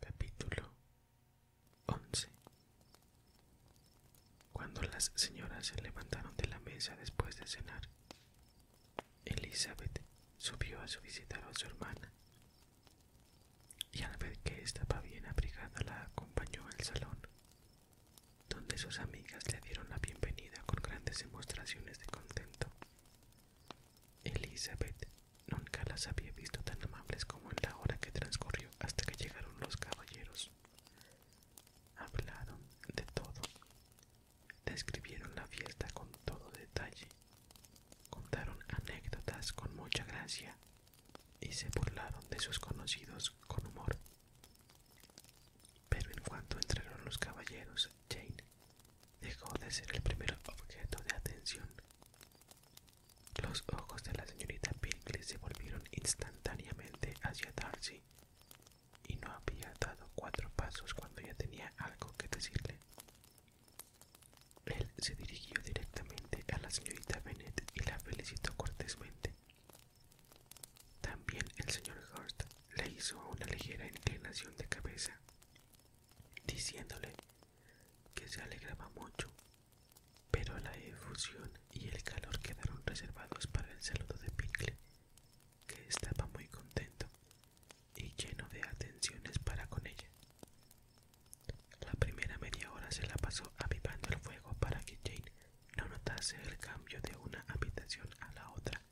Capítulo 11 Cuando las señoras se levantaron de la mesa después de cenar, Elizabeth subió a su visitar a su hermana y al ver que estaba bien abrigada la acompañó al salón, donde sus amigas le dieron la bienvenida con grandes demostraciones de contento Elizabeth nunca las había visto tan amables como en la hora que transcurrió hasta que llegaron los caballeros. Hablaron de todo. Describieron la fiesta con todo detalle. Contaron anécdotas con mucha gracia y se burlaron de sus conocidos con humor. Pero en cuanto entraron los caballeros, Jane dejó de ser el primer objeto de atención. Los ojos de la señorita Pinkley se volvieron instantáneamente hacia Darcy, y no había dado cuatro pasos cuando ya tenía algo que decirle. Él se dirigió directamente a la señorita Bennett y la felicitó cortésmente. También el señor Hurst le hizo una ligera inclinación de cabeza, diciéndole que se alegraba mucho, pero la efusión y el calor quedaron reservados para el saludo de Pinkle, que estaba muy contento y lleno de atenciones para con ella. La primera media hora se la pasó avivando el fuego para que Jane no notase el cambio de una habitación a la otra,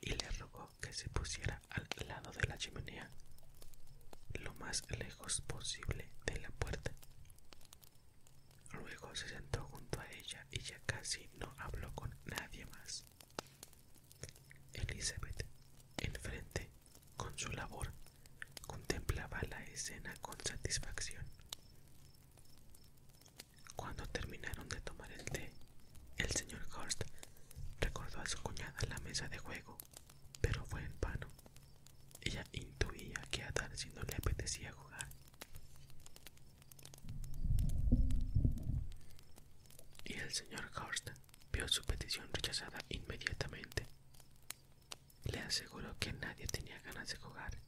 y le rogó que se pusiera al lado de la chimenea, lo más lejos posible de la puerta. Luego se sentó junto a ella y ya casi no habló con nadie más. Elizabeth, enfrente, con su labor, contemplaba la escena con satisfacción. Cuando terminaron de tomar el té, el señor Horst recordó a su cuñada la mesa de juego pero fue en vano. Ella intuía que a Darcy no le apetecía jugar. Y el señor Horst vio su petición rechazada inmediatamente. Le aseguró que nadie tenía ganas de jugar.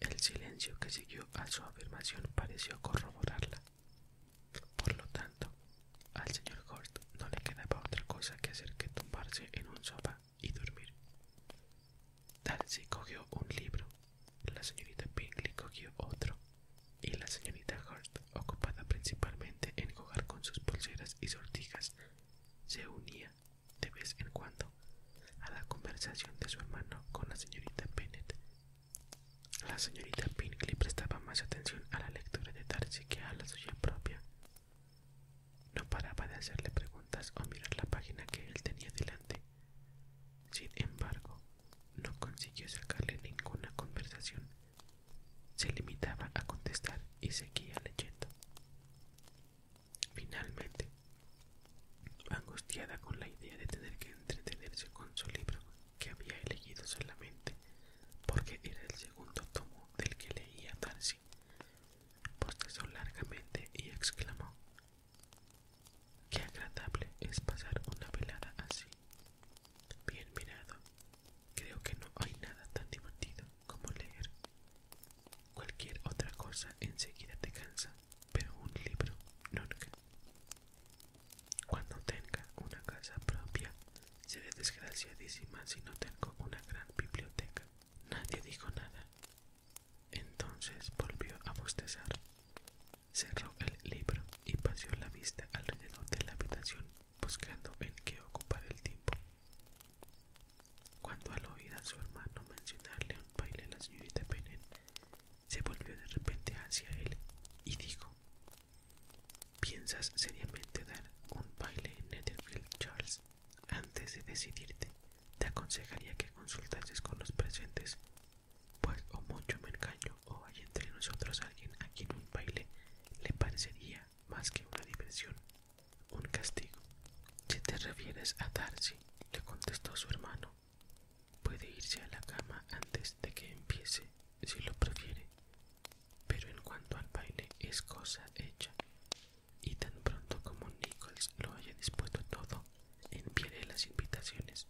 El silencio que siguió a su afirmación pareció corroborarla. Por lo tanto, al señor Hort no le quedaba otra cosa que hacer que tumbarse en un sofá y dormir. Darcy cogió un libro, la señorita Bingley cogió otro, y la señorita Hort, ocupada principalmente en jugar con sus pulseras y sortijas, se unía de vez en cuando a la conversación de su hermano con la señorita Bennet la señorita Pinkley prestaba más atención a la lectura de Darcy que a la suya propia. No paraba de hacerle preguntas o mirar la página que él tenía delante. Sin embargo, no consiguió sacarle ninguna conversación. Se limitaba a contestar y seguía leyendo. Finalmente, angustiada con la idea de tener que entretenerse con su libro que había elegido solamente porque era el segundo tomo del que leía Darcy. Bostezó largamente y exclamó: Qué agradable es pasar una velada así. Bien mirado, creo que no hay nada tan divertido como leer. Cualquier otra cosa enseguida te cansa, pero un libro nunca. Cuando tenga una casa propia, seré desgraciadísima si no tengo una gran biblioteca. Nadie dijo nada. Entonces volvió a bostezar. Cerró el libro y paseó la vista alrededor de la habitación buscando en qué ocupar el tiempo. Cuando al oír a su hermano mencionarle un baile a la señorita Penen, se volvió de repente hacia él y dijo ¿Piensas seriamente dar un baile en Netherfield, Charles? Antes de decidirte, te aconsejaría que consultases con los presentes, pues o mucho me engaño o hay entre nosotros alguien a quien un baile le parecería más que una diversión, un castigo. Si te refieres a Darcy, le contestó su hermano, puede irse a la cama antes de que empiece, si lo prefiere. Pero en cuanto al baile es cosa hecha. Y tan pronto como Nichols lo haya dispuesto todo, enviaré las invitaciones.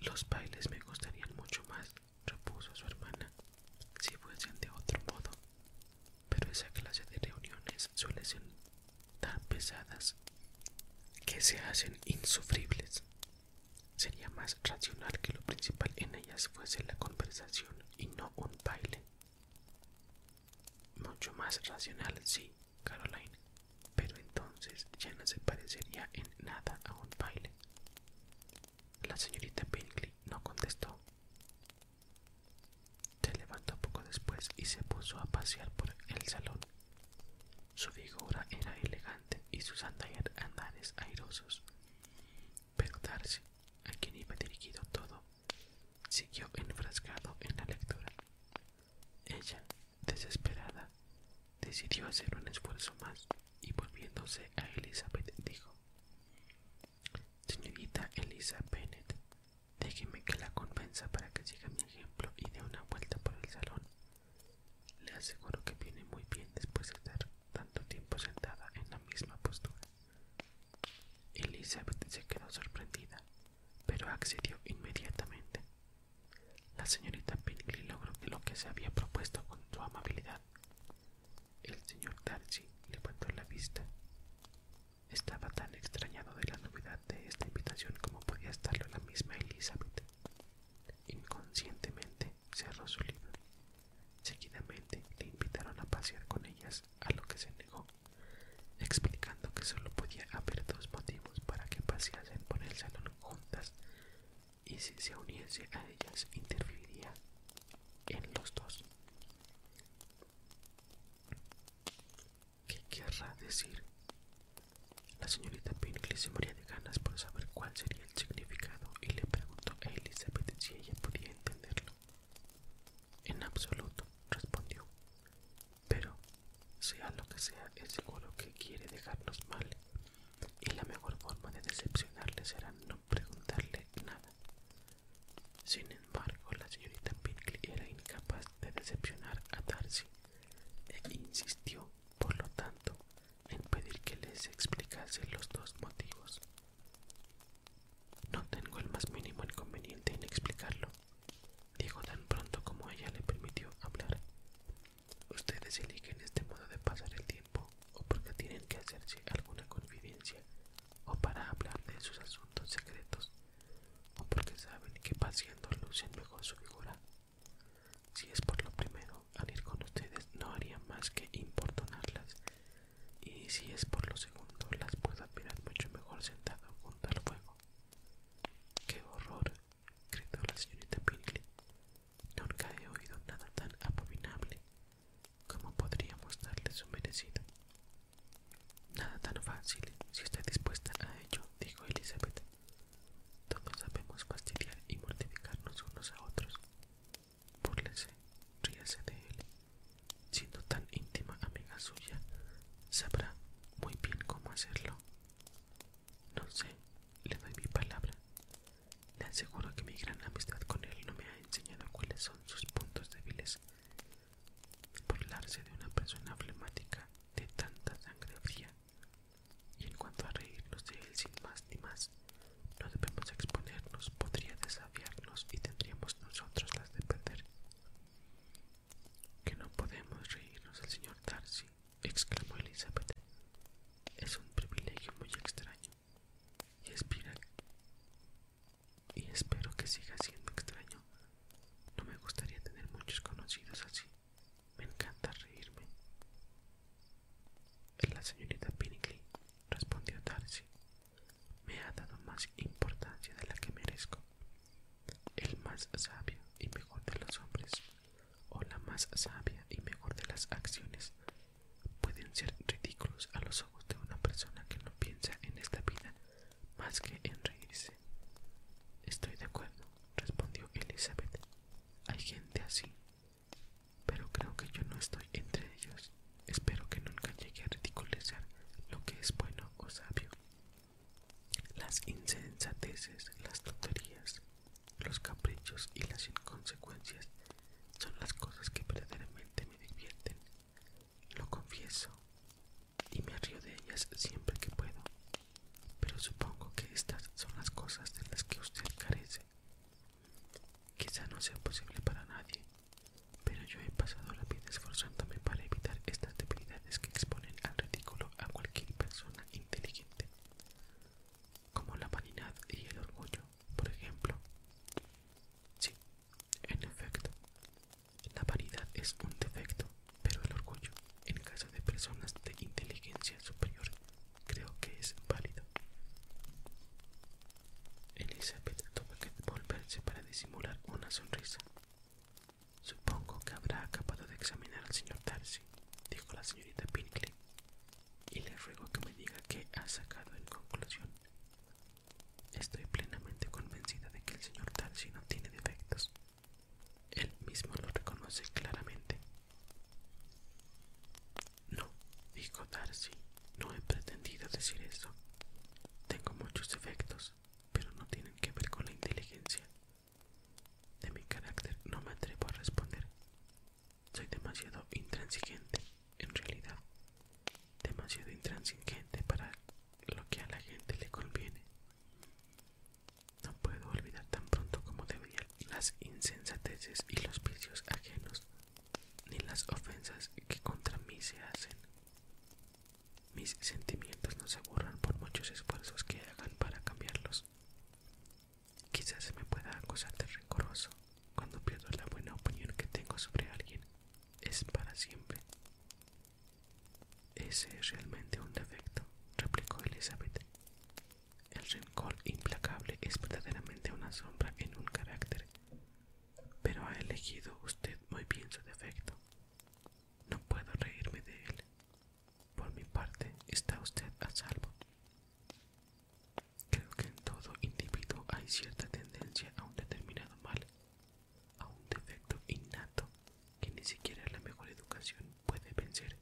Los bailes me gustarían mucho más, repuso su hermana, si fuesen de otro modo. Pero esa clase de reuniones suele ser tan pesadas que se hacen insufribles. Sería más racional que lo principal en ellas fuese la conversación y no un baile. Mucho más racional, sí, Caroline, pero entonces ya no se parecería en nada a un baile. La señorita Binkley no contestó. Se levantó poco después y se puso a pasear por el salón. Su figura era elegante y sus andares airosos pero Darcy, a quien iba dirigido todo, siguió enfrascado en la lectura. Ella, desesperada, decidió hacer un esfuerzo más y volviéndose a Elizabeth dijo Señorita Elizabeth, déjeme que la convenza para que siga mi ejemplo y dé una vuelta por el salón le aseguro que viene muy bien después de estar tanto tiempo sentada en la misma postura. Elizabeth se quedó sorprendida, pero accedió inmediatamente. La señorita Pinkley logró que lo que se había propuesto con su amabilidad. El señor Darcy levantó la vista. Estaba tan extrañado de la novedad de esta invitación como podía estarlo la misma Elizabeth. Inconscientemente cerró su libro. Seguidamente le invitaron a pasear con ellas, a lo que se negó, explicando que solo podía haber dos motivos para que paseasen por el salón juntas y si se uniese a ellas interferiría en los dos. ¿Qué querrá decir? La señorita Pinkley se moría ganas por saber cuál sería el significado y le preguntó a Elizabeth si ella podía entenderlo. En absoluto, respondió. Pero, sea lo que sea, es seguro que quiere dejarnos mal, y la mejor forma de decepcionarle será no preguntarle nada. Sin embargo, la señorita Pinkley era incapaz de decepcionar a Darcy e insistió, por lo tanto, en pedir que les explicase los dos motivos. No tengo el más mínimo inconveniente en explicarlo, dijo tan pronto como ella le permitió hablar. Ustedes eligen este modo de pasar el tiempo o porque tienen que hacerse alguna confidencia o para hablar de sus asuntos secretos o porque saben que paseando lucen mejor su figura. Si es por lo primero, al ir con ustedes no haría más que importunarlas. Y si es por lo segundo, las puedo admirar mucho mejor sentado junto al fuego. ¡Qué horror! gritó la señorita Pinkley. Nunca he oído nada tan abominable. como podríamos darle su merecido? Nada tan fácil, si está dispuesta a ello, dijo Elizabeth. Todos sabemos fastidiar y mortificarnos unos a otros. Burlese, ríase de él. Siendo tan íntima amiga suya, sabrá muy bien cómo hacerlo. No sé, le doy mi palabra. Le aseguro que mi gran amistad con él no me ha enseñado cuáles son sus puntos débiles. Burlarse de una persona flemática de tanta sangre fría. Y en cuanto a reírnos de él sin más ni más, no debemos exponernos, podría desafiarnos y tendríamos nosotros las de perder. Que no podemos reírnos el señor Darcy, exclamó Elizabeth. Es un privilegio muy extraño. Y espero que siga siendo extraño. No me gustaría tener muchos conocidos así. Me encanta reírme. La señorita Pinkley respondió Darcy, me ha dado más importancia de la que merezco. El más sabio y mejor de los hombres, o la más sabia y mejor de las acciones, pueden ser ridículos a los ojos de una persona que no piensa en esta vida más que en reírse. Estoy de acuerdo, respondió Elizabeth. Hay gente así, pero creo que yo no estoy entre ellos. Espero que nunca llegue a ridiculizar lo que es bueno o sabio. Las insensateces, las tonterías, los caprichos y las inconsecuencias son las cosas que verdaderamente me divierten. Lo confieso y me río de ellas siempre que puedo. Pero supongo que estas son las cosas de las que usted carece. Quizá no sea posible para nadie, pero yo he pasado la vida esforzándome para evitar estas debilidades que exponen al ridículo a cualquier persona inteligente, como la vanidad y el orgullo, por ejemplo. Sí, en efecto, la vanidad es un defecto, pero el orgullo, en caso de personas de inteligencia superior, creo que es válido. Elizabeth tuvo que volverse para disimular una sonrisa. Supongo que habrá acabado de examinar al señor Darcy, dijo la señorita Pinkley, y le ruego que me diga qué ha sacado en conclusión. Estoy plenamente convencida de que el señor Darcy no tiene defectos. Él mismo lo reconoce claramente. No, dijo Darcy, no he pretendido decir eso. Tengo muchos defectos, pero no tienen que ver con la inteligencia. De mi carácter no me atrevo a responder. Soy demasiado intransigente, en realidad. Demasiado intransigente para lo que a la gente le conviene. No puedo olvidar tan pronto como debería las insensateces y los vicios ajenos ni las ofensas que contra mí se hacen. Mis sentimientos no se borran por muchos esfuerzos que hagan para cambiarlos. Quizás se me pueda acusar de rencoroso cuando pierdo la buena opinión que tengo sobre alguien. Es para siempre. Ese es realmente un defecto, replicó Elizabeth. El rencor implacable es verdaderamente una sombra en un carácter pero ha elegido usted muy bien su defecto. No puedo reírme de él. Por mi parte, está usted a salvo. Creo que en todo individuo hay cierta tendencia a un determinado mal, a un defecto innato que ni siquiera la mejor educación puede vencer.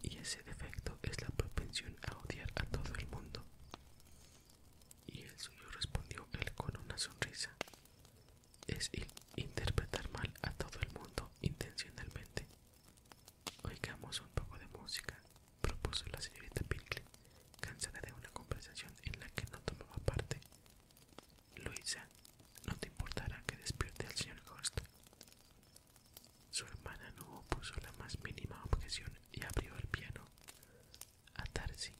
Y ese defecto es la propensión a odiar a todo el mundo, y el suyo respondió él con una sonrisa. Es interpretar mal a todo el mundo intencionalmente. Oigamos un poco de música, propuso la señorita Pinkley, cansada de una conversación en la que no tomaba parte. Luisa, no te importará que despierte al señor Ghost. Su hermana no opuso la más mínima objeción y abrió el piano. A Tarsi,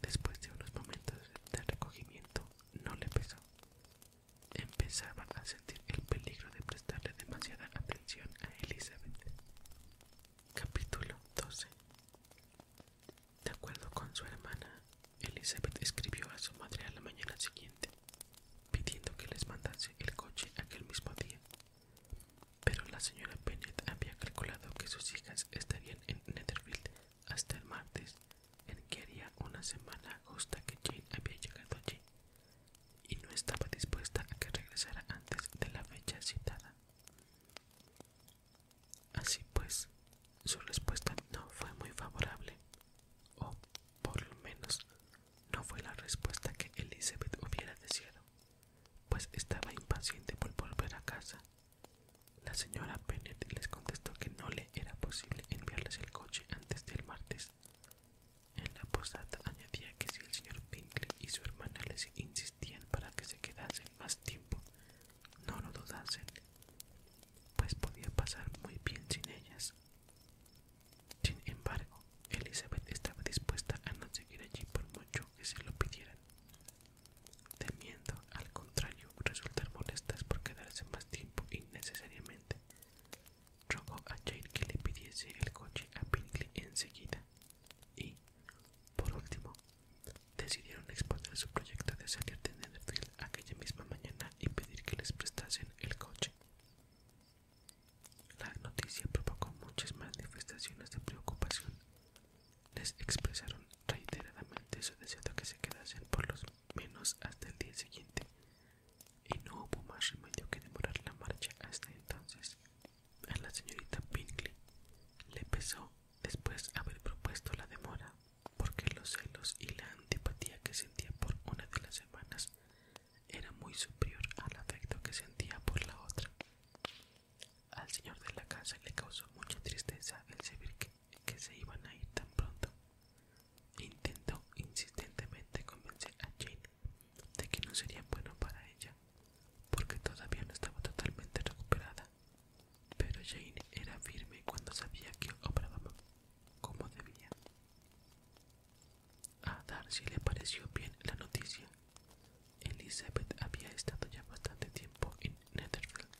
después de unos momentos de recogimiento, no le pesó. Empezaba a sentir el peligro de prestarle demasiada atención a Elizabeth. Capítulo 12 De acuerdo con su hermana, Elizabeth escribió a su madre a la mañana siguiente, pidiendo que les mandase el coche aquel mismo día pero la señora Bennett había calculado que sus hijas estarían en Netherfield hasta el martes, en que haría una semana justa que Jane había llegado allí, y no estaba dispuesta a que regresara antes de la fecha citada. Así pues, su respuesta no fue muy favorable, o por lo menos no fue la respuesta que Elizabeth hubiera deseado pues estaba impaciente por volver a casa. La señora Bennett les contestó que no le era posible enviarles el coche antes del martes. En la posada añadía que si el señor Pinkley y su hermana les insistían para que se quedasen más tiempo, no lo dudasen, pues podía pasar muy bien sin ellas. Sin embargo, Elizabeth estaba dispuesta a no seguir allí por mucho que se lo pidieran, temiendo al contrario resultar molestas por quedarse más tiempo innecesariamente. Rogó a Jane que le pidiese el coche a Pinkley enseguida y, por último, decidieron exponer su proyecto de salir de Netherfield aquella misma mañana y pedir que les prestasen el coche. La noticia provocó muchas manifestaciones de preocupación. Les expresaron reiteradamente su deseo de que se quedasen por los menos hasta el día siguiente, y no hubo más remedio que demorar la marcha hasta entonces. A la señorita Pinkley le pesó después haber propuesto la demora, porque los celos y la antipatía que sentía por una de las hermanas era muy superior al afecto que sentía por la otra. Al señor de la casa le causó mucha tristeza el saber que, se iban a ir tan pronto. Intentó insistentemente convencer a Jane de que no sería bueno para ella, porque todavía no estaba totalmente recuperada. Pero Jane era firme cuando sabía que obraba como debía. A Darcy le pareció bien la noticia Elizabeth había estado ya bastante tiempo en Netherfield.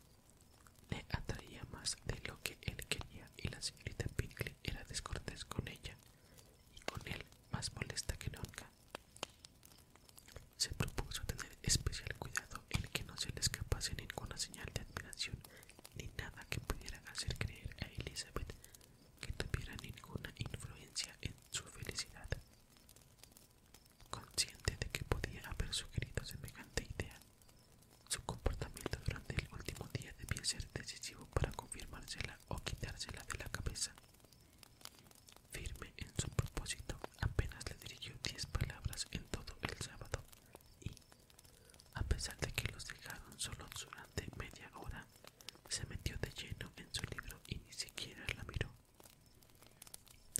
Le atraía más de lo que él quería y la señorita Pinkley era descortés con ella y con él más molesta que nunca. Se propuso tener especial cuidado en que no se le escapase ninguna señal de admiración ni nada que pudiera hacer creer a Elizabeth que tuviera ninguna influencia en su felicidad. Consciente de que podía haber sugerido semejante idea, su comportamiento durante el último día debía ser decisivo para confirmársela o quitársela de la cabeza. Firme en su propósito, apenas le dirigió diez palabras en todo el sábado y, a pesar de que los dejaron solos durante media hora, se metió de lleno en su libro y ni siquiera la miró.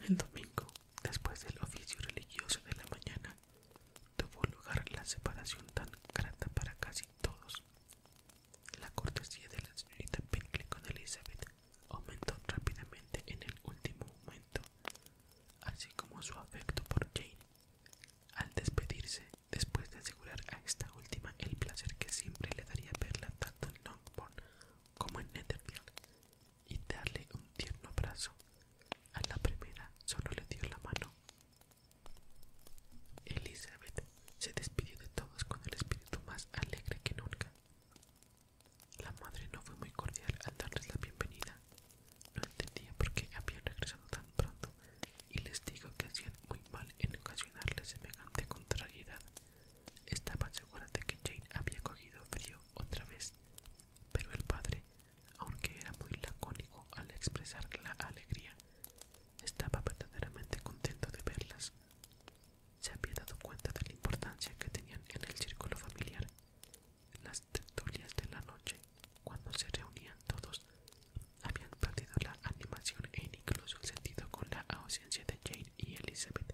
El domingo, después del oficio religioso de la mañana, tuvo lugar la separación tan grata para casi todos. La cortesía de la señorita Pinkley con Elizabeth aumentó rápidamente en el último momento, así como su afecto por Jane. Al despedirse, después de asegurar a esta última el placer que siempre le daría verla tanto en Longbourn como en Netherfield y darle un tierno abrazo. A la primera solo le dio la mano. Elizabeth se despidió de todos con el espíritu más alegre que nunca. La madre no fue muy cordial al darles la bienvenida. No entendía por qué habían regresado tan pronto y les dijo que hacían muy mal en ocasionarles semejante contrariedad. Estaban seguras de que Jane había cogido frío otra vez, pero el padre, aunque era muy lacónico al expresar la alegría, estaba verdaderamente contento de verlas. Se había dado cuenta de la importancia que tenían en el círculo familiar. Las tertulias de la noche, cuando se reunían todos, habían perdido la animación e incluso el sentido con la ausencia de Jane y Elizabeth,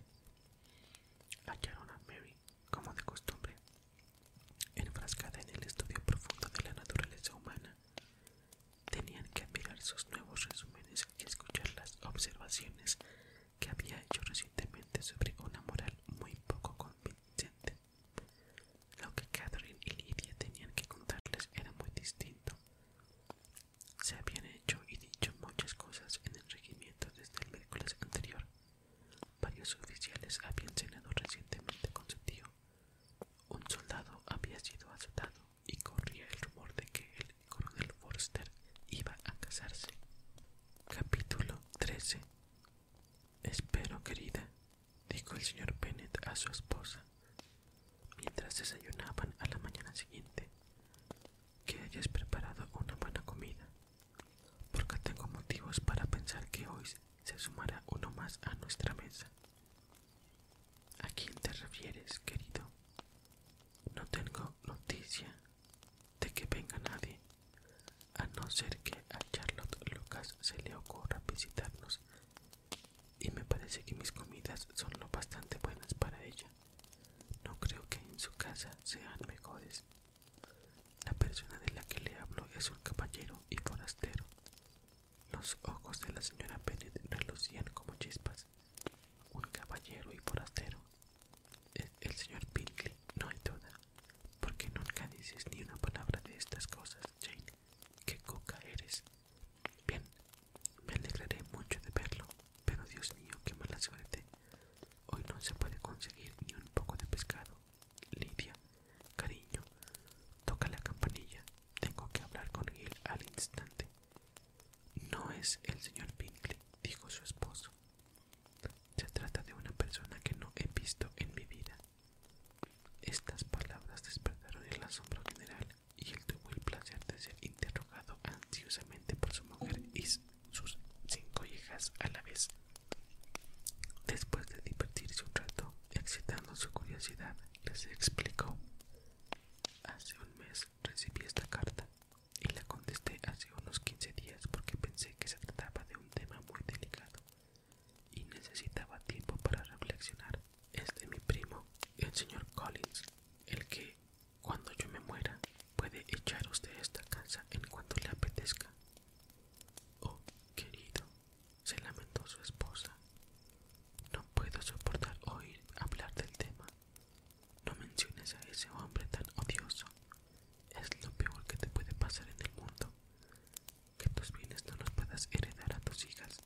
Hallaron a Mary, como de costumbre, enfrascada en el estudio profundo de la naturaleza humana. Tenían que admirar sus nuevos resúmenes y escuchar las observaciones que había hecho recientemente sobre una moral muy poco convincente. Lo que Catherine y Lydia tenían que contarles era muy distinto. Se habían hecho y dicho muchas cosas en el regimiento desde el miércoles anterior. Varios oficiales habían cenado recientemente con su tío. Un soldado había sido azotado y corría el rumor de que el coronel Forster iba a casarse. Capítulo 13 Espero, querida, dijo el señor Bennet a su esposa mientras desayunaban a la mañana siguiente que hayas preparado una buena comida, porque tengo motivos para pensar que hoy se sumará uno más a nuestra mesa. ¿A quién te refieres, querido? No tengo noticia de que venga nadie, a no ser que a Charlotte Lucas se le ocurra visitarnos, y me parece que mis comidas son lo bastante buenas para ella. No creo que en su casa sean mejores. La persona de la que le hablo es un caballero y forastero. Los ojos de la señora Bennet relucían como chispas. Un caballero y forastero. El, señor Pinkley, no hay duda. Porque nunca dices ni una palabra de estas cosas, Jane. Qué coca eres. Bien, me alegraré mucho de verlo. Pero Dios mío, qué mala suerte. Hoy no se puede conseguir ni un poco de pescado. Lidia, cariño, toca la campanilla. Tengo que hablar con Gil al instante. No es el señor Pinkley, dijo su esposo. Se trata de una persona que no he visto en mi vida. Estas palabras despertaron el asombro general y él tuvo el placer de ser interrogado ansiosamente por su mujer Is sus cinco hijas a la vez. Después de divertirse un rato, excitando su curiosidad, les explicó. Hace un mes recibí esta carta y la contesté hace unos 15 días porque pensé que se trataba de un tema muy delicado y necesitaba tiempo para reflexionar. Es de mi primo, el señor Collins, el que cuando yo me muera, puede echaros de esta casa en cuanto le apetezca. Oh, querido, se lamentó su esposa. No puedo soportar oír hablar del tema. No menciones a ese hombre tan odioso. Es lo peor que te puede pasar en el mundo. Que tus bienes no los puedas heredar a tus hijas.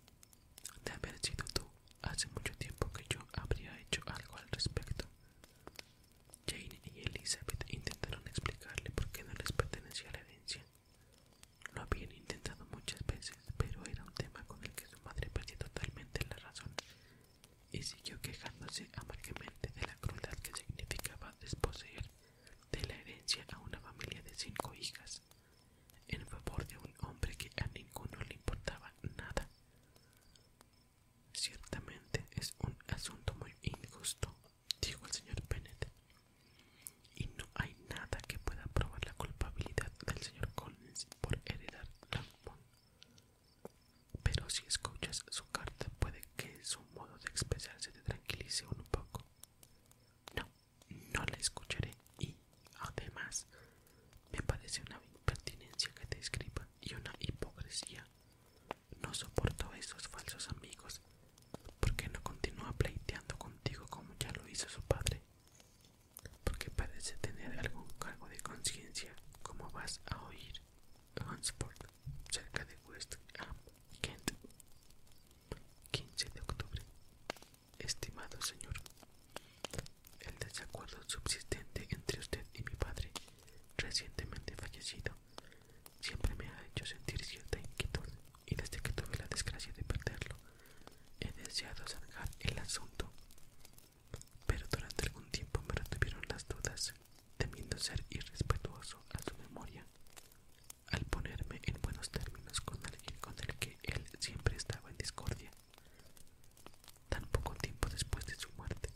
De haber sido tú, hace mucho tiempo que yo habría hecho algo al respecto. Jane y Elizabeth intentaron explicarle por qué no les pertenecía la herencia. Lo habían intentado muchas veces, pero era un tema con el que su madre perdió totalmente la razón y siguió quejándose amargamente de la crueldad que significaba desposeer de la herencia a una familia de cinco hijas en favor de un hombre que a ninguno le importaba nada. Ciertamente es un asunto muy injusto, dijo el señor Bennet, y no hay nada que pueda probar la culpabilidad del señor Collins por heredar Longbourn. Pero si escuchas su carta, puede que su modo de expresarse te tranquilice un poco. No, no la escucharé y, además, me parece una impertinencia que te escriba y una hipocresía. No soporto a esos falsos amigos. ¿Por qué no continúa pleiteando contigo como ya lo hizo su padre? Porque parece tener algún cargo de conciencia, como vas a oír. Hansford, cerca de West Kent. 15 de octubre. Estimado señor, el desacuerdo subsistente entre usted y mi padre recientemente fallecido, siempre me ha hecho sentir cierta inquietud y desde que tuve la desgracia de perderlo, he deseado zanjar el asunto. Pero durante algún tiempo me retuvieron las dudas, temiendo ser irrespetuoso a su memoria, al ponerme en buenos términos con alguien con el que él siempre estaba en discordia. Tan poco tiempo después de su muerte,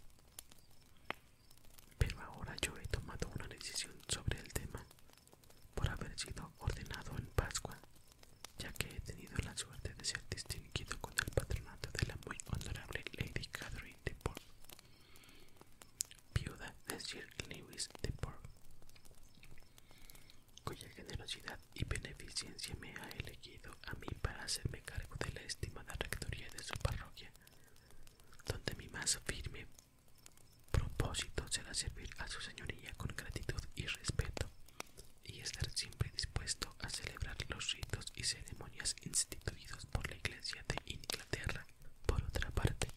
pero ahora yo he tomado una decisión sobre el tema, por haber sido ordenado en Pascua, ya que he tenido la suerte de ser distinguido con el patronato de la muy honorable Lady Catherine de Port, viuda de Sir Lewis de Port, cuya generosidad y beneficencia me ha elegido a mí para hacerme cargo de la estimada rectoría de su parroquia, donde mi más firme propósito será servir a su señoría con gratitud y respeto y estar siempre dispuesto a celebrar los ritos y ceremonias instituidos por la Iglesia de Inglaterra. Por otra parte,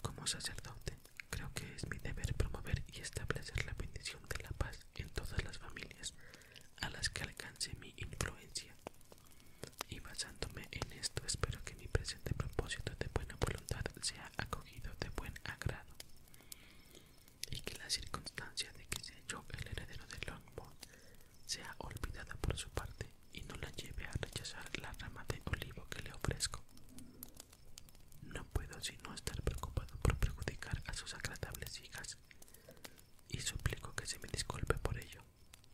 como sacerdote, creo que es mi deber promover y establecer la bendición de la paz en todas las familias a las que alcance mi influencia. Y basándome en esto espero que mi presente propósito de buena voluntad sea acogido de buen agrado y que la circunstancia de que sea yo el heredero de Longmont sea olvidada por su parte y no la lleve a rechazar la rama de olivo que le ofrezco. No puedo sino estar preocupado por perjudicar a sus agradables hijas y suplico que se me disculpe por ello.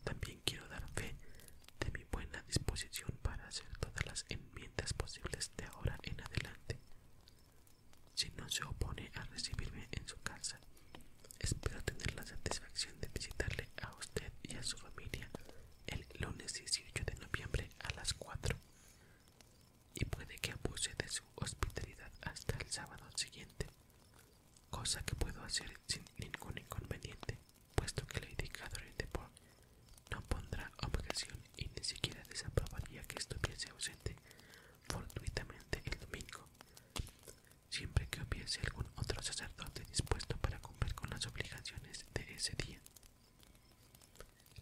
También quiero dar fe de mi buena disposición para hacer todas las enmiendas posibles de ahora en adelante. Si no se opone a recibirme en su casa, espero tener la satisfacción de visitarle a usted y a su familia el lunes 18 de noviembre a las 4. Y puede que abuse de su hospitalidad hasta el sábado siguiente cosa que puedo hacer sin ningún inconveniente, puesto que la indicadora de por no pondrá objeción y ni siquiera desaprobaría que estuviese ausente fortuitamente el domingo, siempre que hubiese algún otro sacerdote dispuesto para cumplir con las obligaciones de ese día.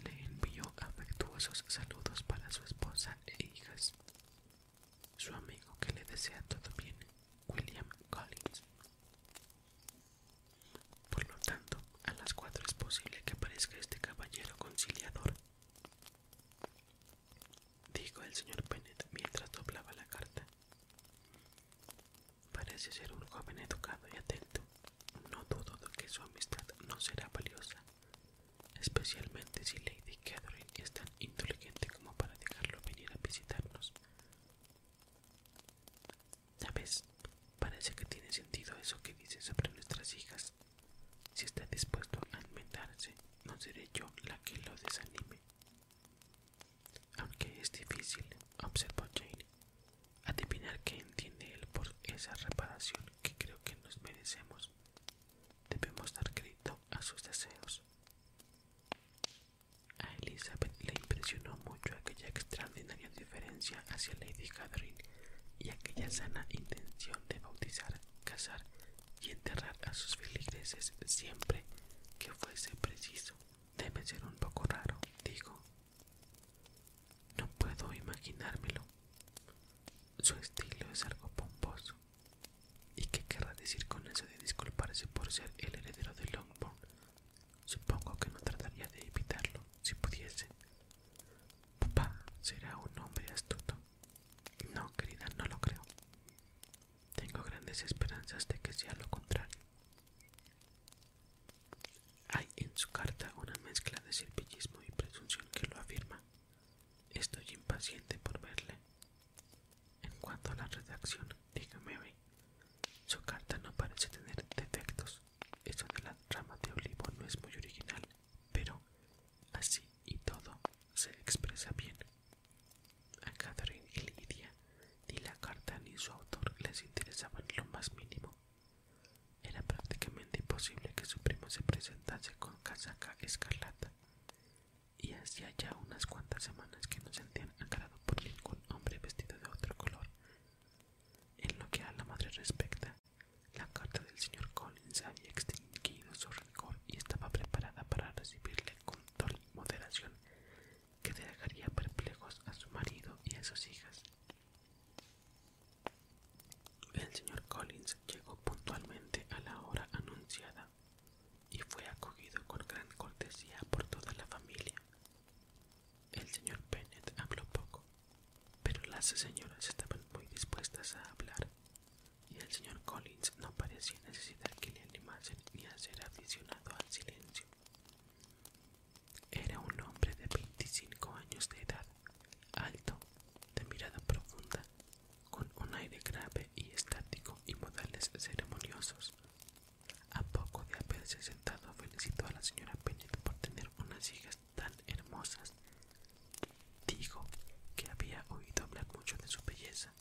Le envió afectuosos saludos para su esposa e hijas su amigo que le desea todo bien, William Collins. Por lo tanto, a las cuatro es posible que aparezca este caballero conciliador, dijo el señor Bennet mientras doblaba la carta. Parece ser un joven educado y atento. No dudo de que su amistad no será valiosa, especialmente si Lady Catherine está inteligente como para dejarlo venir a visitarnos. ¿Sabes? Parece que tiene sentido eso que dice sobre nuestras hijas. Si está dispuesto a inventarse no seré yo la que lo desanime. Aunque es difícil, observó Jane, adivinar qué entiende él por esa reparación que creo que nos merecemos. Debemos dar crédito a sus deseos. A Elizabeth le impresionó mucho aquella extraordinaria diferencia hacia Lady Catherine y aquella sana intención de bautizar, casar y enterrar a sus feligreses siempre que fuese preciso. Debe ser un poco raro, digo. No puedo imaginármelo. Su estilo es algo pomposo, ¿Y qué querrá decir con eso de disculparse por ser el heredero de Longbourn? Supongo que no trataría de evitarlo si pudiese. Papá será un hombre astuto. No, querida, no lo creo. Tengo grandes esperanzas de que sea lo contrario. Hay en su carta una mezcla de servilismo y presunción que lo afirma. Estoy impaciente por verle, en cuanto a la redacción, dígame Su carta no parece tener defectos. Eso de la rama de olivo no es muy original, pero así y todo se expresa bien. A Catherine y Lidia ni la carta ni su autor les interesaban lo más mínimo. Era prácticamente imposible que su primo se presentase con casaca escarlata y hacía ya unas cuantas semanas que no sentían agrado por ningún hombre vestido de otro color. En lo que a la madre respecta, la carta del señor Collins había extinguido su rigor y estaba preparada para recibirle con toda moderación que dejaría perplejos a su marido y a sus hijas. El señor Collins llegó puntualmente a la hora anunciada y fue acogido con gran cortesía por toda la familia. El señor Bennett habló poco, pero las señoras estaban muy dispuestas a hablar, y el señor Collins no parecía necesitar que le animasen ni a ser aficionado al silencio. Era un hombre de 25 años de edad, alto, de mirada profunda, con un aire grave y estático y modales ceremoniosos. A poco de haberse sentado, felicitó a la señora Bennet por tener unas hijas tan hermosas. Dijo que había oído hablar mucho de su belleza,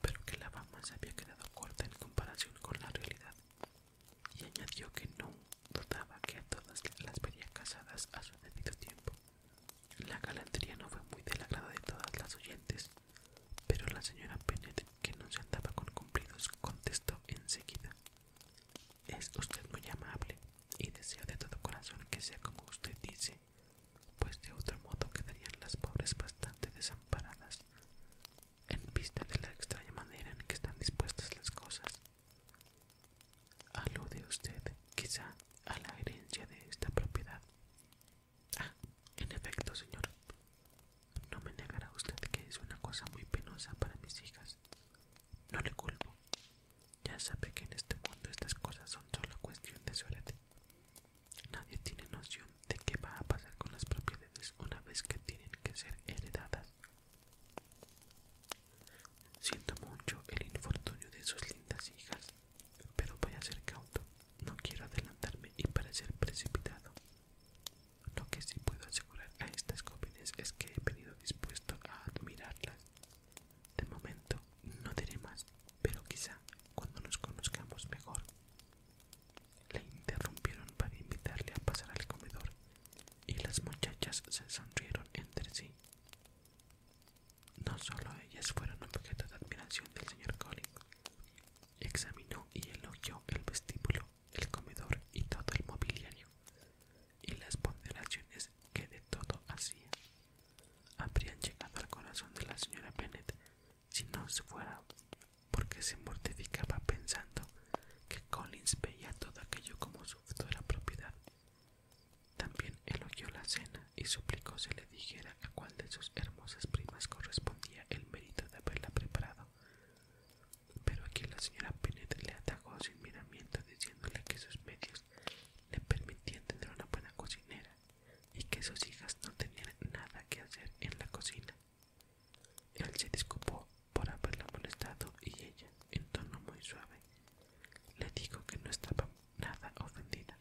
pero que la fama se había quedado corta en comparación con la realidad, y añadió que no dudaba que a todas las vería casadas a su debido tiempo. La galantería no fue muy del agrado de todas las oyentes, pero la señora Bennet, que no se andaba con cumplidos, contestó enseguida: Es usted muy amable y deseo de todo corazón que sea como usted dice, pues de otro modo quedarían las pobres bastante desamparadas, en vista de la extraña manera en que están dispuestas las cosas. Alude usted, quizá, a la herencia de esta propiedad Ah, en efecto, señor. No me negará usted que es una cosa muy penosa para mis hijas. No le culpo. Ya sabe que en este mundo estas cosas son solo cuestión de suerte. Nadie tiene noción de qué va a pasar con las propiedades una vez que tienen que ser heredadas. Siento mucho el infortunio de sus lindas hijas, pero voy a ser cauto, no quiero adelantarme y parecer precipitado. Lo que sí puedo asegurar a estas copines es que he venido dispuesto a admirarlas. De momento no diré más, pero quizá cuando nos conozcamos mejor. Le interrumpieron para invitarle a pasar al comedor y las muchachas se sonrieron entre sí. No solo ellas fueron objeto de admiración del señor Collins, Examinó y elogió el vestíbulo, el comedor y todo el mobiliario, y las ponderaciones que de todo hacía. Habrían llegado al corazón de la señora Bennet si no se fuera porque se mortificaba pensando que Collins veía todo aquello como su futura propiedad. También elogió la cena y suplicó se le dijera a cuál de sus hermosas primas correspondía el mérito de haberla preparado. Pero aquí la señora Bennet le atacó sin miramiento diciéndole que sus medios le permitían tener una buena cocinera y que sus hijas no tenían nada que hacer en la cocina. Él se disculpó por haberla molestado y ella, en tono muy suave, le dijo que no estaba nada ofendida,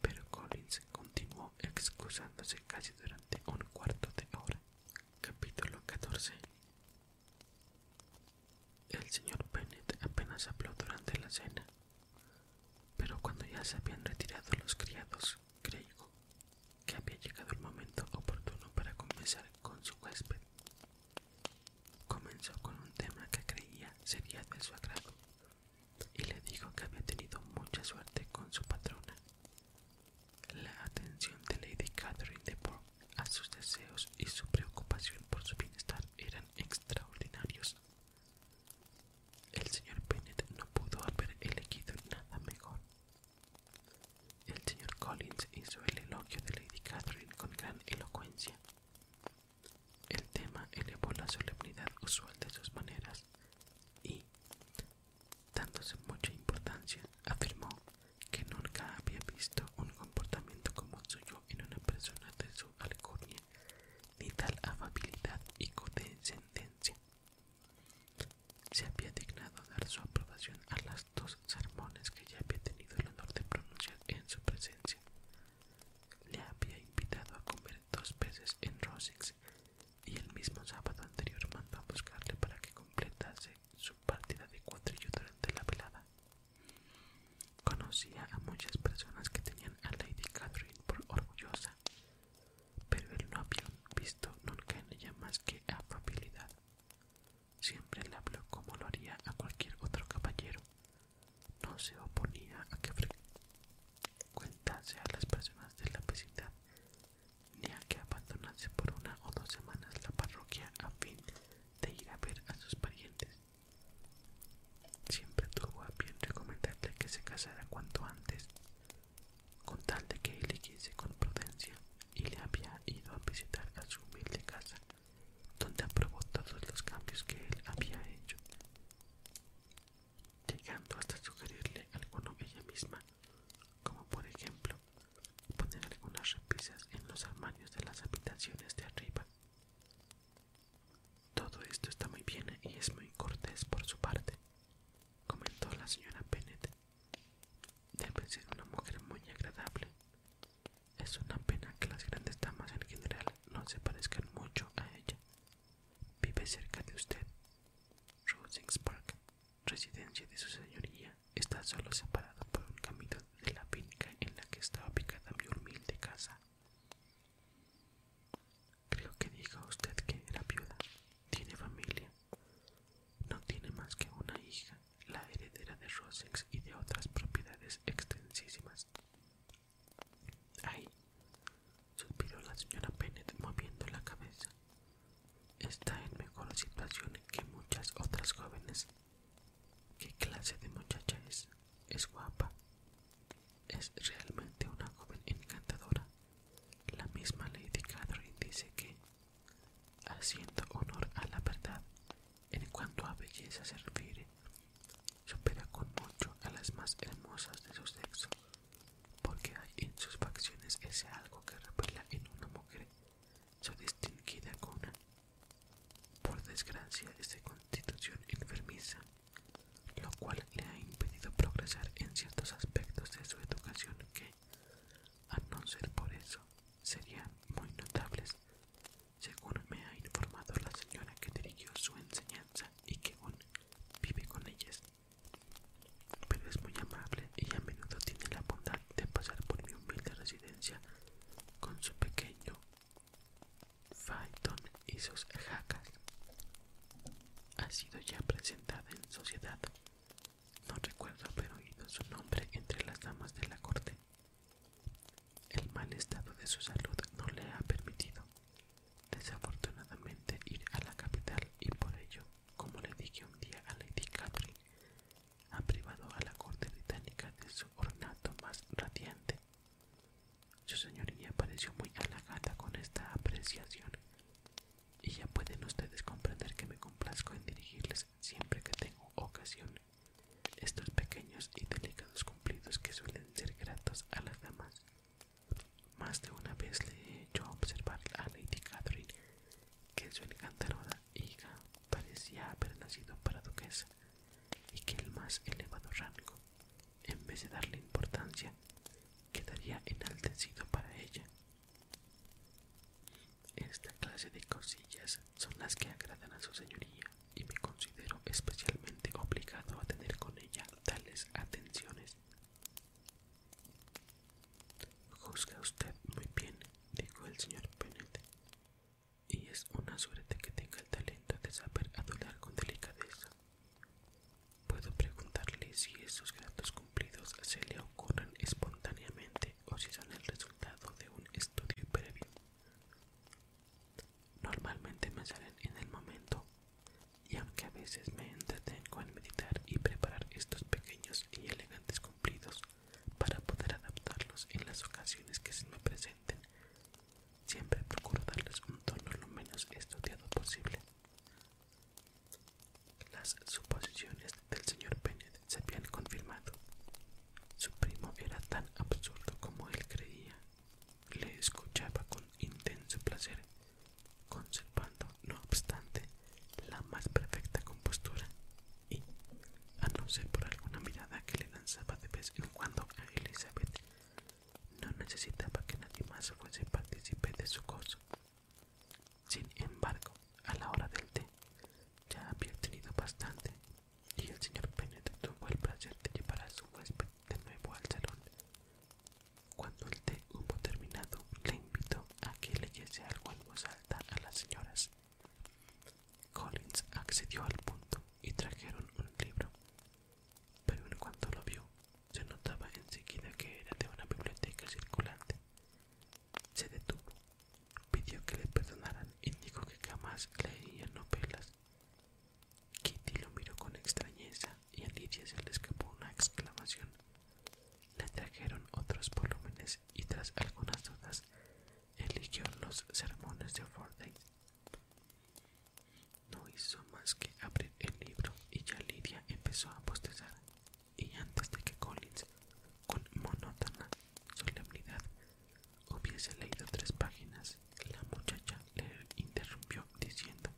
pero Collins continuó excusándose casi durante un cuarto de hora. Capítulo 14 El señor Bennett apenas habló durante la cena, pero cuando ya se habían retirado los criados, creyó que había llegado el momento oportuno para conversar con su huésped. Comenzó con un tema que creía sería de su agrado, y le dijo que había tenido mucha suerte con su patrona. La atención de Lady Catherine de Bourgh a sus deseos y su preocupación por su bienestar eran extraordinarios. El señor Bennet no pudo haber elegido nada mejor. El señor Collins hizo el elogio de Lady Catherine con gran elocuencia. El tema elevó la solemnidad usual de sus maneras y dándose mucha importancia, afirmó que nunca había visto un comportamiento como el suyo en una persona de su alcurnia, ni tal amabilidad y condescendencia. Se había dignado dar su aprobación a las dos sermones que ya había tenido el honor de pronunciar en su presencia. Le había invitado a comer dos peces en Rossix y el mismo sábado anterior mandó a buscarle para que completase su partida de cuatrillo durante la velada. Conocía a muchas personas que tenían a Lady Catherine por orgullosa, pero él no había visto nunca en ella más que afabilidad. Siempre le habló como lo haría a cualquier otro caballero. No se oponía a que Cuentase a las personas de la visita, ni a que abandonase por una o dos semanas la parroquia a fin de ir a ver a sus parientes. Siempre tuvo a bien recomendarle que se casara cuanto antes, con tal de que él quise con prudencia, y le había ido a visitar a su humilde casa, donde aprobó todos los cambios que él había hecho llegando hasta sugerirle alguno ella misma, como por ejemplo poner algunas repisas en los armarios de las habitaciones de arriba. Todo esto está muy bien y es muy cortés por su parte, comentó la señora Bennett. Debe ser una mujer muy agradable. Es una pena que las grandes damas en general no se parezcan mucho a ella. Vive cerca de usted Rosings Park, residencia de su señoría, está solo separado por un camino de la finca en la que estaba ubicada mi humilde casa. Creo que diga usted que era viuda. Tiene familia. No tiene más que una hija, la heredera de Rosings y de otras propiedades extensísimas. Ahí suspiró la señora Bennet moviendo la cabeza. Está en mejor situación que muchas otras jóvenes. ¿Qué clase de muchacha es? Es guapa. Es realmente una joven encantadora. La misma Lady Catherine dice que, haciendo honor a la verdad, en cuanto a belleza se refiere, supera con mucho a las más hermosas de su sexo porque hay en sus facciones ese algo que repela en una mujer su distinguida cuna. Por desgracia es de constitución enfermiza, lo cual le ha impedido progresar en ciertos aspectos de su educación que, a no ser por eso, serían muy notables, según me ha informado la señora que dirigió su enseñanza y que aún vive con ellas pero es muy amable y a menudo tiene la bondad de pasar por mi humilde residencia con su pequeño Phaeton y sus jacas. Ha sido ya presentada en sociedad. No recuerdo haber oído su nombre entre las damas de la corte. El mal estado de su salud no le ha permitido, desafortunadamente, ir a la capital y por ello como le dije un día a Lady Catherine, ha privado a la corte británica de su ornato más radiante. Su señoría pareció muy halagada con esta apreciación, y ya pueden ustedes comprender que me complazco en dirigirles siempre que tengo ocasión estos pequeños y delicados cumplidos que suelen ser gratos a las damas. Más de una vez le he hecho observar a Lady Catherine que su encantadora hija parecía haber nacido para duquesa y que el más elevado rango, en vez de darle importancia, quedaría enaltecido para ella. Esta clase de cosillas son las que agradan a su señoría y me considero especialmente obligado a tener con ella tales atenciones. Juzga usted muy bien, dijo el señor Bennet, y es una suerte que tenga el talento de saber adular con delicadeza. Puedo preguntarle si esos gratos cumplidos se le ocurren espontáneamente o si son el resultado de un estudio previo. Normalmente me salen en el momento y aunque a veces me entretengo en meditar y preparar estos pequeños y elegantes cumplidos para poder adaptarlos en las ocasiones que se me presenten, siempre procuro darles un tono lo menos estudiado posible. Las suposiciones del señor Bennet se habían confirmado. Su primo era tan absurdo como él creía. Le escuchaba con intenso placer conservando, no obstante, la más perfecta compostura y, a no ser por alguna mirada que le lanzaba de vez en cuando a Elizabeth, no necesitaba que nadie más fuese partícipe de su gozo. Sin embargo, a la hora del té, ya había tenido bastante, y el señor Bennet tuvo el placer de llevar a su huésped de nuevo al salón cuando el té hubo terminado, le invitó a que leyese algo en voz alta a las señoras. Collins accedió al punto y trajeron un libro, pero en cuanto lo vio, se notaba enseguida que era de una biblioteca circulante. Se detuvo, pidió que le perdonaran y dijo que jamás leía novelas. Kitty lo miró con extrañeza y a Lidia se le escapó una exclamación. Le trajeron otros volúmenes y tras algunas dudas eligió los sermones de Fordyce. No hizo más que abrir el libro y ya Lidia empezó a bostezar. Y antes de que Collins, con monótona solemnidad, hubiese leído tres páginas, la muchacha le interrumpió diciendo: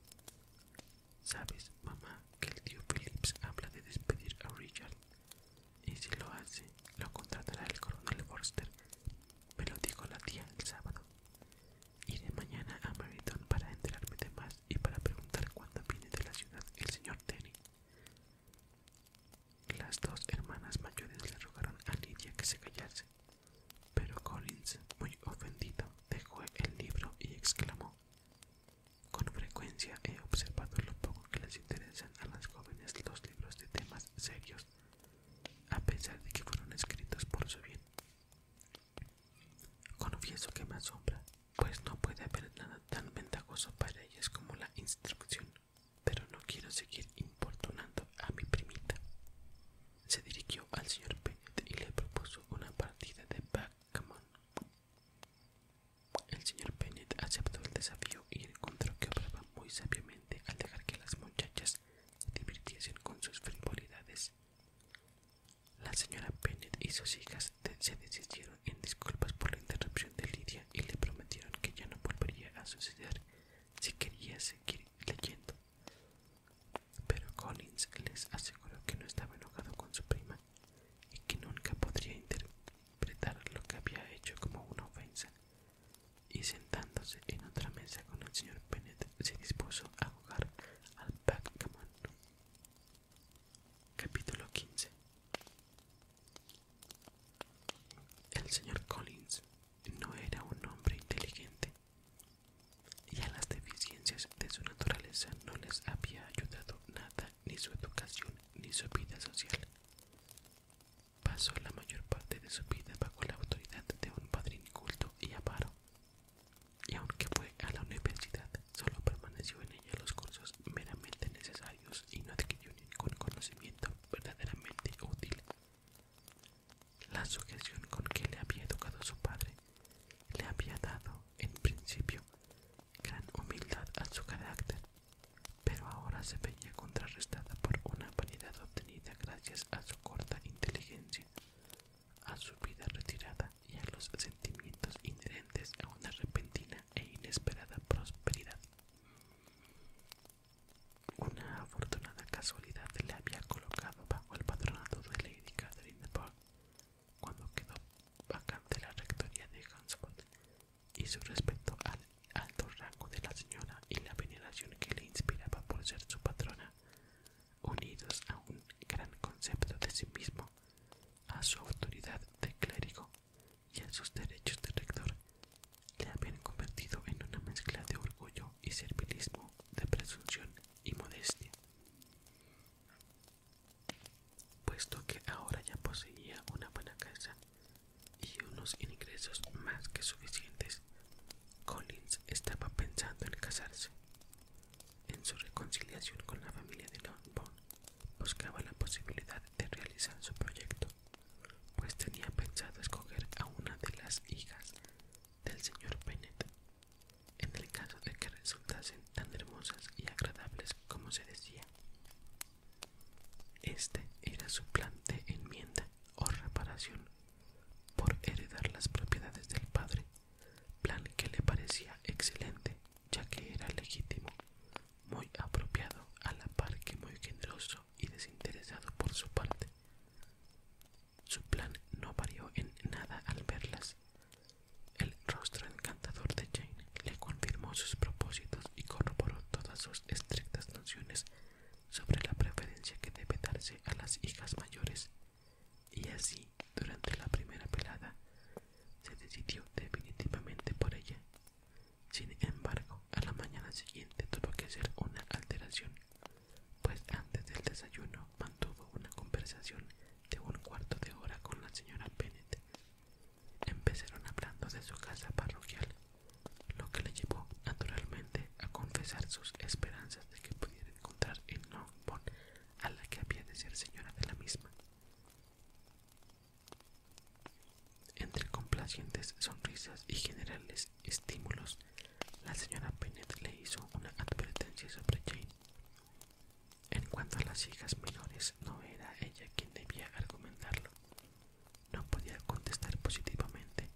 Sabes, mamá, que el tío Phillips habla de despedir a Richard. Y si lo hace, lo contratará el coronel Forster. Me lo dijo la tía el sábado. Iré mañana a Meriton para enterarme de más y para preguntar cuándo viene de la ciudad el señor Tenny. Las dos hermanas mayores le rogaron a Lydia que se callase, pero Collins, muy ofendido, dejó el libro y exclamó: con frecuencia he observado lo poco que les interesan a las jóvenes los libros de temas serios, a pesar de que fueron escritos por su bien. Confieso que me asombra, pues no puede haber nada tan ventajoso para ellas como la instrucción, pero no quiero seguir importunando a mi primita. Se dirigió al señor Bennett y le propuso una partida de backgammon. El señor Bennett aceptó el desafío y encontró que obraba muy sabiamente al dejar que las muchachas se divirtiesen con sus frivolidades. La señora Bennett y sus hijas se desistieron en disculpas por la interrupción de Lidia y le prometieron que ya no volvería a suceder si quería seguir leyendo. Pero Collins les aseguró que no estaba enojado con su prima y que nunca podría interpretar lo que había hecho como una ofensa, y sentándose en otra mesa con el señor Bennett se dispuso a jugar al backgammon. Capítulo 15 El señor Collins no era un hombre inteligente y a las deficiencias de su naturaleza no les había ayudado nada ni su educación ni su vida social. Pasó la mayor parte de su vida bajo la autoridad de un padrino culto y aparo, y aunque fue a la universidad, solo permaneció en ella los cursos meramente necesarios y no adquirió ningún conocimiento verdaderamente útil. La sujeción con que le había educado su padre le había dado, en principio, gran humildad a su carácter, pero ahora se veía contrarrestada por una vanidad obtenida gracias a su corta inteligencia, a su vida retirada y a los sentimientos inherentes a una repentina e inesperada prosperidad. Una afortunada casualidad le había colocado bajo el patronato de Lady Catherine de Bourgh cuando quedó vacante la rectoría de Hansford y su respeto al alto rango de la señora y la veneración que le inspiraba por ser su patrona, unidos a un gran concepto de sí mismo, a su autoridad de clérigo y a sus derechos de rector, le habían convertido en una mezcla de orgullo y servilismo, de presunción y modestia puesto que ahora ya poseía una buena casa y unos ingresos más que suficientes. Collins estaba pensando en casarse. En su reconciliación con la familia de Longbourn, buscaba la posibilidad de realizar su proyecto, pues tenía pensado escoger a una de las hijas del señor Bennett. en el caso de que resultasen tan hermosas y agradables como se decía. Este era su plan de enmienda o reparación por heredar las propiedades del padre, plan que le parecía excelente ya que era legítimo, muy apropiado a la par que muy generoso y desinteresado por su parte. Su plan no varió en nada al verlas, el rostro encantador de Jane le confirmó sus propósitos y corroboró todas sus estrictas nociones sobre la preferencia que debe darse a las hijas mayores, y así, durante la primera pelada, se decidió definitivamente por ella. Sin embargo, a la mañana siguiente tuvo que hacer una alteración, pues antes del desayuno mantuvo una conversación de un cuarto de hora con la señora Bennet Empezaron hablando de su casa parroquial, lo que le llevó naturalmente a confesar sus esperanzas de que pudiera encontrar en Longbourn a la que había de ser señora de la misma. Entre complacientes sonrisas y generales estímulos, la señora Bennet le hizo una advertencia sobre Jane, en cuanto a las hijas menores, no era ella quien debía argumentarlo. No podía contestar positivamente,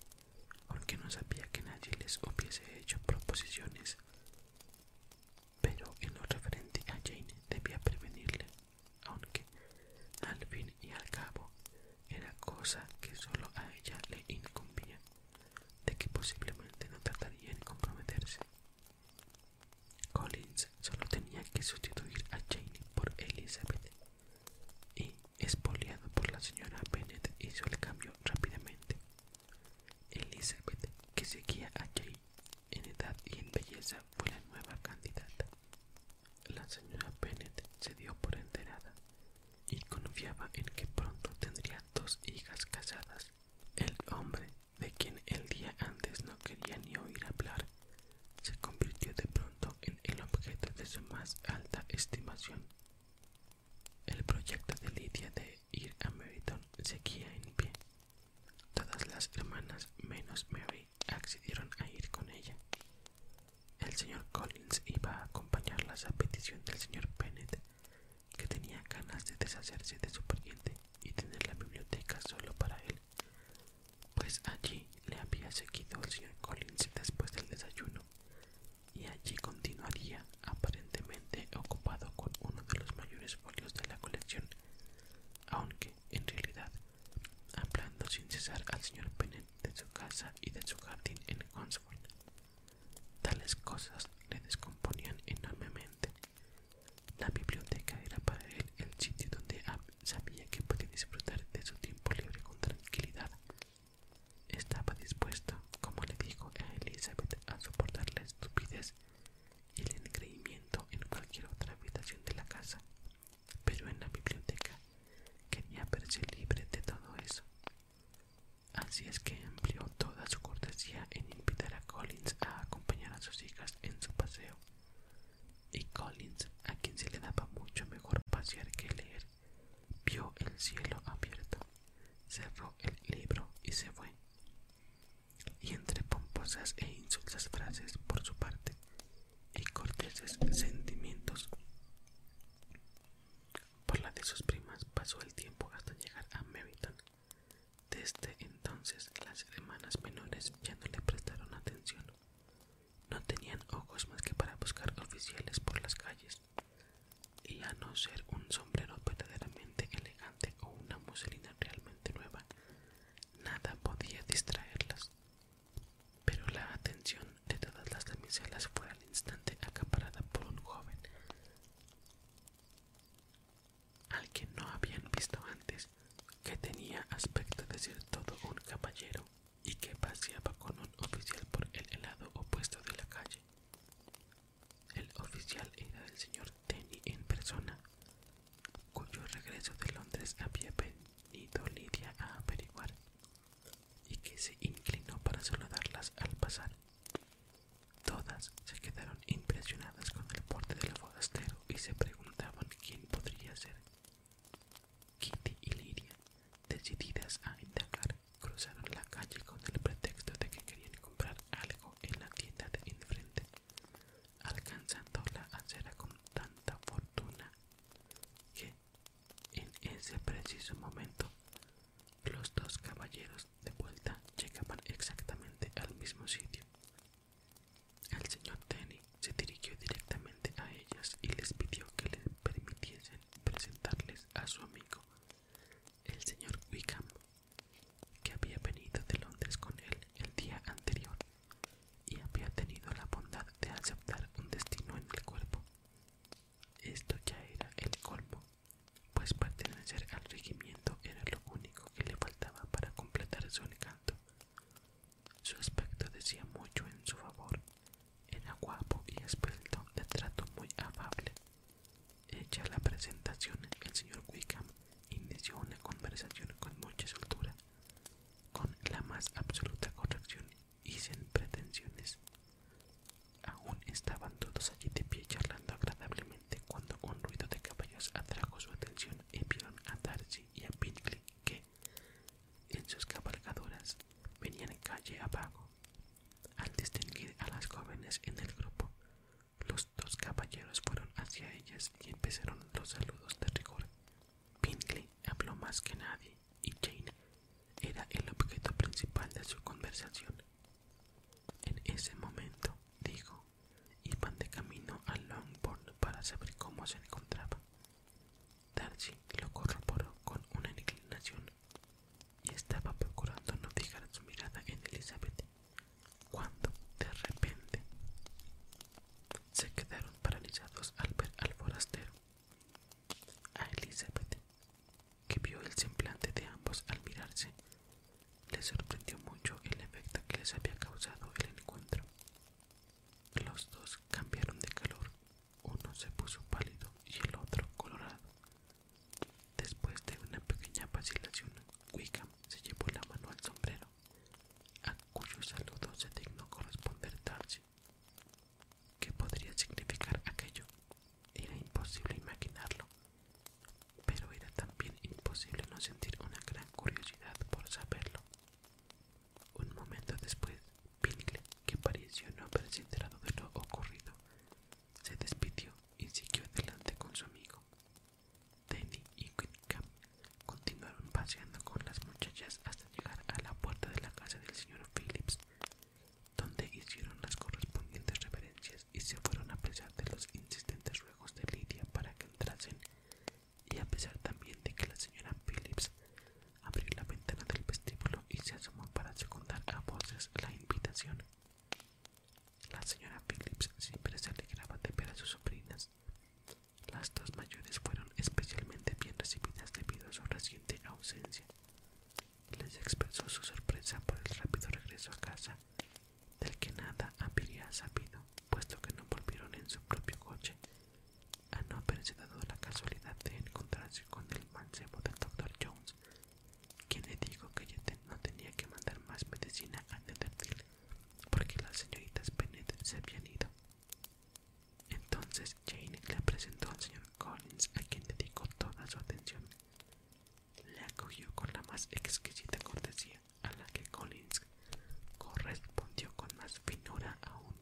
aunque no sabía que nadie les hubiese hecho proposiciones. Pero en lo referente a Jane debía prevenirle, aunque al fin y al cabo era cosa que solo a ella le incumbía, de que posiblemente no trataría de comprometerse. Collins solo tenía que sustituir a Jane por Elizabeth y, espoliado por la señora Bennett, hizo el cambio rápidamente. Elizabeth, que seguía a Jane en edad y en belleza, fue la nueva candidata. La señora Bennett se dio por enterada y confiaba en que pronto tendría dos hijas casadas. El hombre de quien el día antes no quería ni oír hablar, se convirtió de pronto en el objeto de su más alta estimación. El proyecto de Lidia de ir a Meryton seguía en pie. Todas las hermanas menos Mary accedieron a ir con ella. El señor Collins iba a acompañarlas a petición del señor Bennett, que tenía ganas de deshacerse de su pariente y tener la biblioteca solo para él pues allí le había seguido el señor Collins después del desayuno, y allí continuaría aparentemente ocupado con uno de los mayores folios de la colección, aunque en realidad hablando sin cesar al señor pennet de su casa y de su jardín en Hunsford. Tales cosas le descomponían enormemente la biblioteca era para él el sitio donde sabía que podía disfrutar de su tiempo libre con tranquilidad. Estaba dispuesto, como le dijo a Elizabeth, a soportar la estupidez y el engreimiento en cualquier otra habitación de la casa, pero en la biblioteca quería verse libre de todo eso. Así es que amplió toda su cortesía en invitar a Collins a acompañar a sus hijas en su paseo, y Collins, a quien se le daba mucho mejor pasear que leer, vio el cielo abierto, cerró el libro y se fue. Y entre pomposas e insultas frases por su parte y corteses sentimientos por la de sus primas pasó el tiempo hasta llegar a Meryton, desde entonces las hermanas menores ya no le prestaron atención. No tenían ojos más que para buscar oficiales por las calles, y a no ser un sombrero verdaderamente elegante o una muselina realmente nueva, nada podía distraerlas. Pero la atención de todas las damiselas fue al instante acaparada por un joven al que no habían visto antes, que tenía aspecto de ser todo un caballero y que paseaba con un oficial por el lado opuesto de la calle. El oficial era el señor Denny en persona, cuyo regreso de Londres había venido Lidia a averiguar y que se inclinó para saludarlas al pasar. Todas se quedaron impresionadas con el porte del forastero y se preguntaban quién podría ser. Kitty y Lidia, decididas a indagar, cruzaron la calle con el pretexto de que querían comprar algo en la tienda de enfrente, alcanzando la acera con tanta fortuna que, en ese preciso momento, los dos caballeros de vuelta llegaban exactamente al mismo sitio, el señor Tenny se dirigió directamente a ellas y les pidió que les permitiesen presentarles a su amigo, el señor Wickham, que había venido de Londres con él el día anterior y había tenido la bondad de aceptar un destino en el cuerpo. Esto ya era el colmo, pues pertenecer al regimiento era lo único que le faltaba para completar su encanto su aspecto decía mucho en su favor. Era guapo y esbelto, de trato muy afable. Hecha la presentación, el señor Wickham inició una conversación con mucha soltura, con la más absoluta corrección y sin pretensiones. Aún estaban todos allí de pie charlando agradablemente cuando un ruido de caballos atrajo su atención y vieron a Darcy y a Pinkley que, en sus cabalgaduras, venían calle abajo. Al distinguir a las jóvenes en el grupo, los dos caballeros fueron hacia ellas y empezaron los saludos de rigor. Pinkley habló más que nadie y Jane era el objeto principal de su conversación. En ese momento, dijo, Iban de camino a Longbourn para saber cómo se encontraba. Darcy lo corroboró con una inclinación y estaba procurando no fijar su mirada en Elizabeth cuando de repente se quedaron paralizados al ver al forastero. A Elizabeth, que vio el semblante de ambos al mirarse, le sorprendió mucho el efecto que les había causado el encuentro. Los dos cambiaron de calor, uno se puso pálido y el otro colorado. Después de una pequeña vacilación, Wickham se llevó la mano al sombrero, a cuyo saludo se dignó corresponder Darcy. ¿Qué podría significar aquello? Era imposible imaginarlo, pero era también imposible no sentir una gran curiosidad por saberlo. Un momento después, Pinkle, que pareció no haberse enterado de lo ocurrido, se despidió y siguió adelante con su amigo. Teddy y Quinca continuaron paseando con las muchachas hasta llegar a la puerta de la casa del señor Phillips, donde hicieron las correspondientes reverencias y se fueron a pesar de los insistentes ruegos de Lidia para que entrasen y a pesar también de que la señora Phillips abrió la ventana del vestíbulo y se asomó para secundar a voces la invitación. La señora Phillips siempre se alegraba de ver a sus sobrinas. Las dos mayores fueron especialmente bien recibidas debido a su reciente ausencia. Les expresó su sorpresa por el rápido regreso a casa, del que nada habría sabido puesto que no volvieron en su propio coche, a no haberse dado la casualidad de encontrarse con el mancebo del doctor Jones, quien le dijo que no tenía que mandar más medicina a Netherfield porque las señoritas Bennett se habían ido. Entonces Jane le presentó al señor Collins, a quien dedicó toda su atención. Le acogió con la más exquisita cortesía a la que Collins correspondió con más finura aún,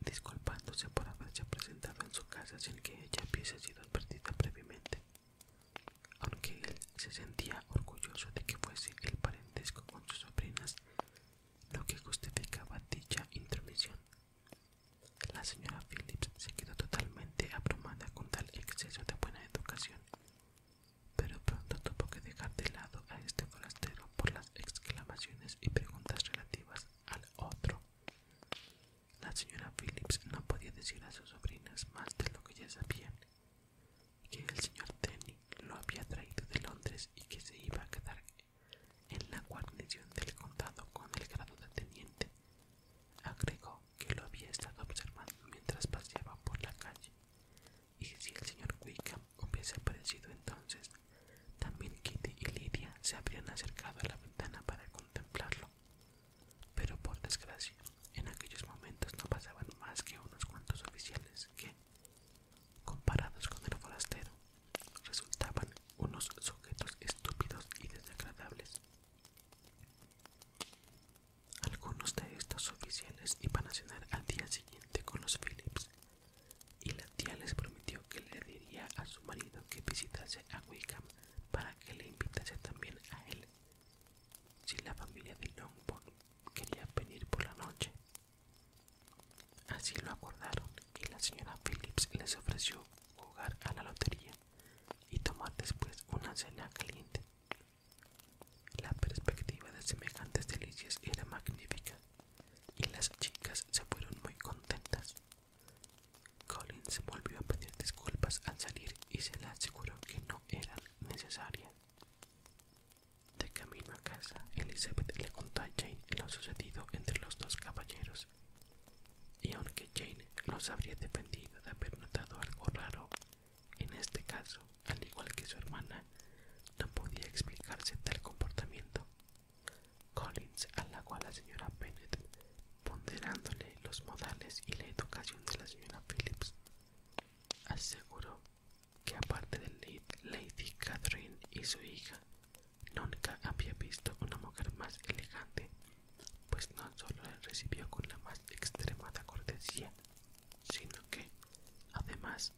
disculpándose por haberse presentado en su casa sin que ella hubiese sido advertida previamente, aunque él se sentía orgulloso de que fuese el parentesco con sus sobrinas lo que justificaba dicha intromisión. La señora Phillips se quedó totalmente abrumada con tal exceso de buena educación pero pronto tuvo que dejar de lado a este forastero por las exclamaciones y preguntas relativas al otro. La señora Phillips no podía decir a sus sobrinas más de lo que ya sabían, que el señor Denny lo había traído de Londres y que se iba a quedar en la guarnición del condado con el grado de teniente. Agregó que lo había estado observando mientras paseaba por la calle y si el señor Wickham hubiese aparecido entonces, también Kitty y Lydia se habrían acercado a la ventana para contemplarlo. Pero por desgracia, en aquellos momentos no pasaban más que unos cuantos oficiales que, comparados con el forastero, resultaban unos sujetos estúpidos y desagradables. Algunos de estos oficiales iban a cenar al día siguiente con los Phillips, y la tía les prometió que le diría a su marido que visitase a Wickham para que le invitase también a él, si la familia de Longbourn quería venir por la noche. Así lo acordaron y la señora Phillips les ofreció jugar a la lotería y tomar después una cena caliente la perspectiva de semejantes delicias era magnífica y las chicas se fueron muy contentas. Colin se volvió a pedir disculpas al salir y se le aseguró que no era necesaria. De camino a casa, Elizabeth le contó a Jane lo sucedido entre los dos caballeros, y aunque Jane los habría dependido de haber notado algo raro en este caso, al igual que su hermana, no podía explicarse tal comportamiento. Collins halagó a la señora Bennett, ponderándole los modales y la educación de la señora Phillips. Aseguró que aparte de Lady Catherine y su hija, nunca había visto una mujer más elegante, pues no solo la recibió con la más extremada cortesía, sino que, además,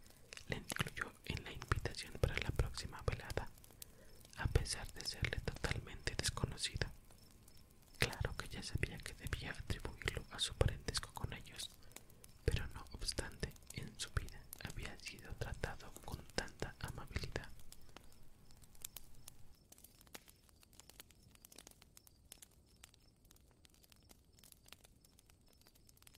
le incluyó en la invitación para la próxima velada, a pesar de serle totalmente desconocida. Claro que ya sabía que debía atribuirlo a su parentesco con ellos, pero no obstante, en su vida había sido tratado con tanta amabilidad.